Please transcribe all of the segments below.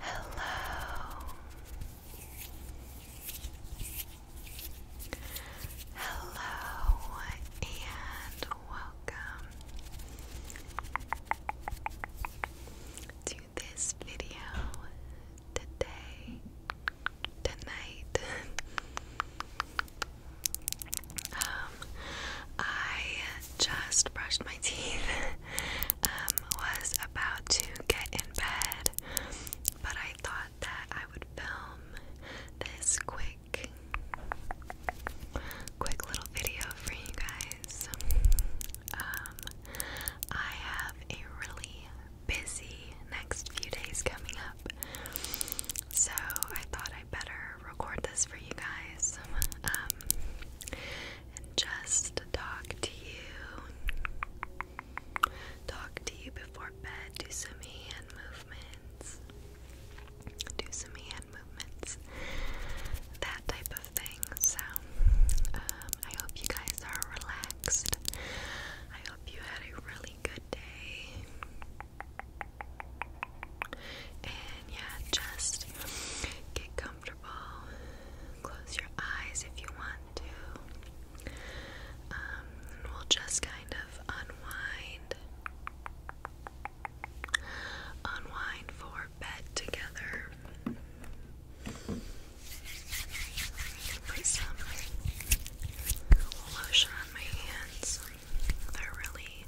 Hello. Hello and welcome to this video today, tonight. I just brushed my teeth. um, was about to get in bed, but I thought that I would film this quick, quick little video for you guys. Um, I have a really busy next few days coming up, so I thought I better record this for you guys um, just talk to you. Talk to you before bed. Do some hand movements. Do some hand movements. That type of thing. So, um, I hope you guys are relaxed. I hope you had a really good day. And yeah, just get comfortable. Close your eyes if you want to. Um, we'll just kind of unwind. Unwind for bed together. Put some lotion on my hands. They're really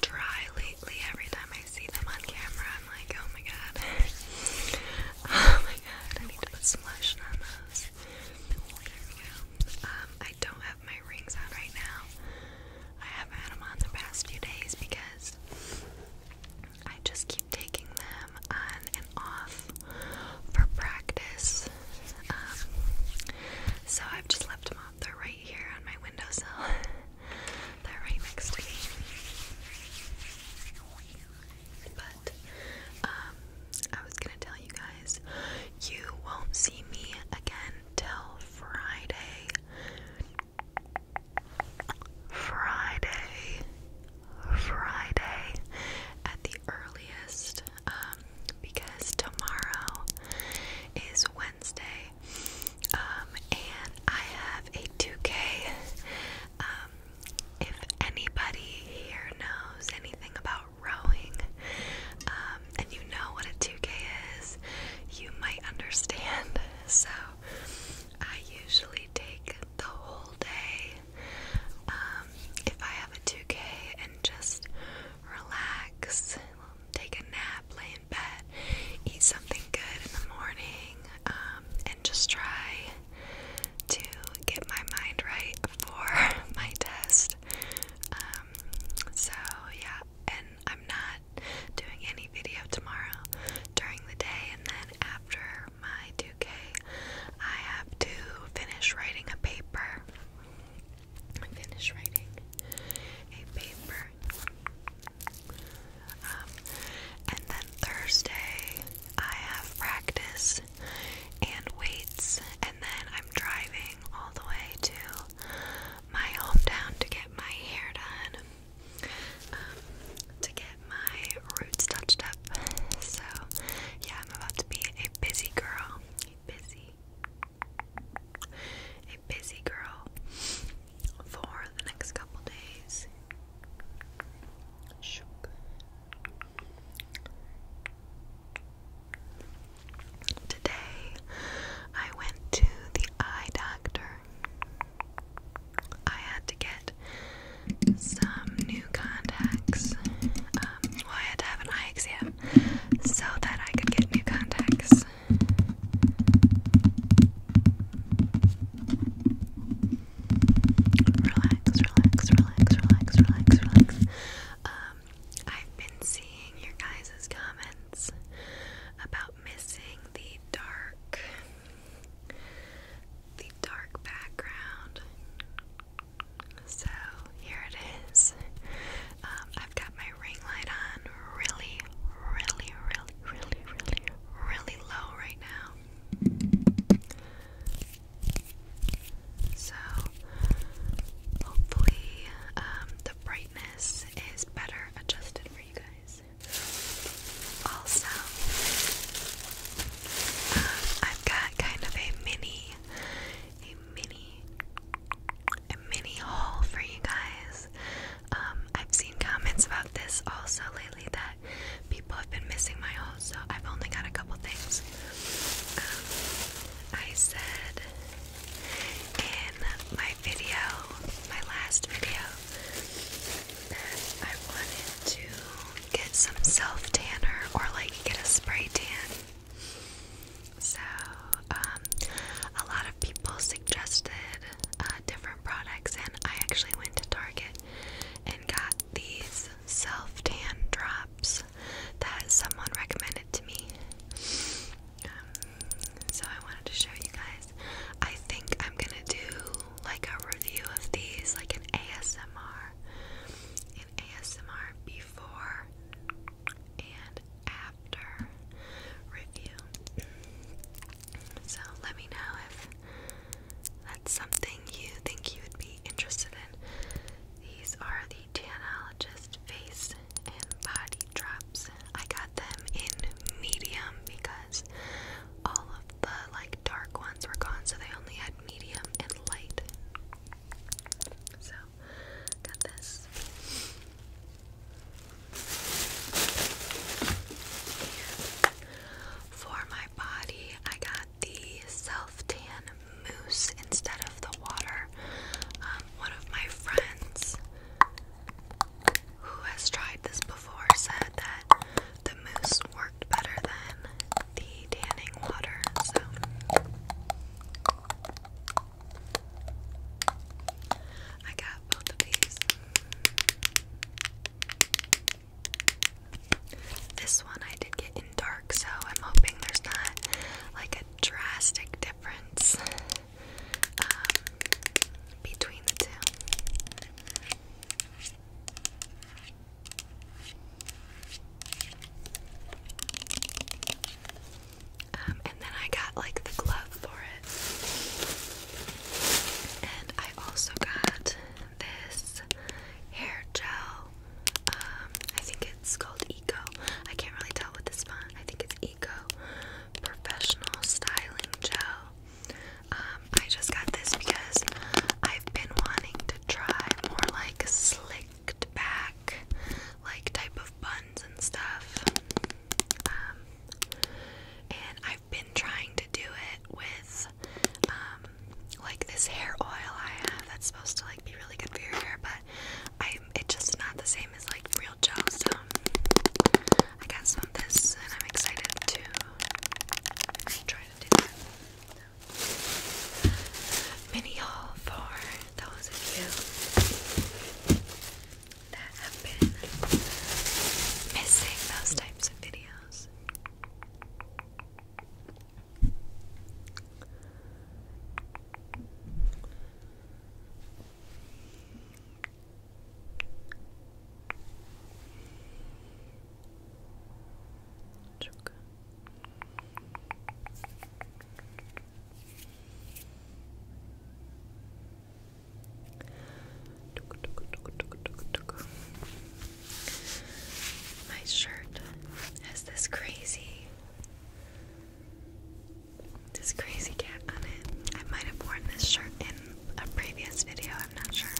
dry lately. Every time I see them on camera, I'm like, oh my god. oh my god, I need to put some lotion on those. Um, I don't have my rings on right now. I haven't had them on the past few days because I just keep taking them on and off for practice. Um, so I've just left them up. They're right here on my windowsill. They're right next to me. But um, I was gonna tell you guys, you won't see me again till Friday. Friday, Friday, at the earliest, um, because tomorrow is Wednesday, um, and I have a 2K. Um, if anybody here knows anything about rowing, um, and you know what a 2K is, you might understand. So I usually take the whole day um, if I have a 2K and just relax, take a nap, lay in bed, eat something good in the morning, um, and just try to get my mind right for my test. Um, so, yeah, and I'm not doing any video tomorrow during the day, and then after my 2 UK, I have to finish writing a paper. Finish writing a paper. Um, and then Thursday, I have practice and weights, and then I'm driving all the way to my hometown to get my hair done, um, to get my roots touched up. So, yeah, I'm about to be a busy girl. A busy. A busy girl for the next couple days. Today, I went to the eye doctor. I had to get some new contacts. Um, I had to have an eye exam so that I could get new contacts. Relax, relax, relax, relax, relax, relax. Um, I've been seeing your guys' comments about missing the dark the dark background. So here it is. Um, I've got my ring light on really, really, really, really, really, really low right now. So hopefully um, the brightness is better adjusted for you guys. Also, um, I've got kind of a mini, a mini, a mini haul for you guys. Um, I've seen comments about this also lately that people have been missing my haul, so I've only got a couple things. Um, I said in my video, my last video, then I wanted to get some self tanner or like get a spray tan. So, um, a lot of people suggested uh, different products, and I actually went to Target and got these self tan drops that someone recommended to me. Um, so, I wanted to show you guys. I think I'm gonna do like a review of these, like an ASMR, an ASMR before and after review. So let me know if that's something you think you would be interested in. These are the Tanologist face and body drops. I got them in medium because all of the like dark ones were gone, so they only had medium and light. So, got this. for my body, I got the self tan mousse instead of the water. Um, one of my friends who has tried this before said that the mousse worked better than the tanning water. So I got both of these. This one I did get in dark, so I'm hoping there's not like a drastic difference. Um, between the two. Um, and then I got like the glove for it. And I also got this hair gel. Um, I think it's called Eco. I can't really tell what this phone. I think it's Eco Professional Styling Gel. Um, I just got this because I've been wanting to try more like slicked back, like type of buns and stuff. Um, and I've been trying to do it with um, like this hair oil I have that's supposed to like be really good for your hair, but it's just not the same as like real real so I got some of this and I'm excited to try to do that. mini haul for those of you that have been missing those types of videos. My shirt has this crazy this crazy cat on it. I might have worn this shirt in a previous video, I'm not sure.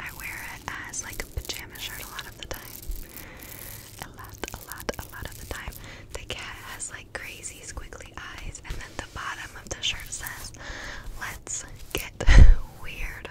I wear it as like a pajama shirt a lot of the time. A lot, a lot, a lot of the time. The cat has like crazy squiggly eyes, and then the bottom of the shirt says, Let's get weird.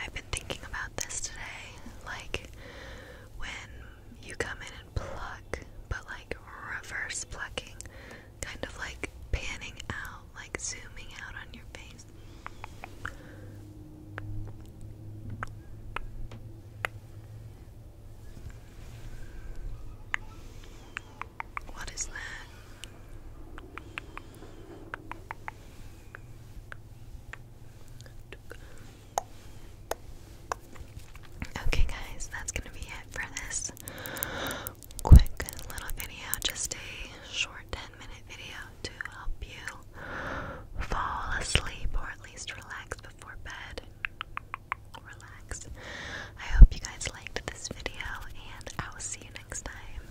I've been thinking about this today, like when you come in and pluck, but like reverse plucking, kind of like panning out, like zooming out on your face. What is that? Okay, guys, that's gonna be it for this quick little video. Just a short 10 minute video to help you fall asleep or at least relax before bed. Relax. I hope you guys liked this video, and I will see you next time.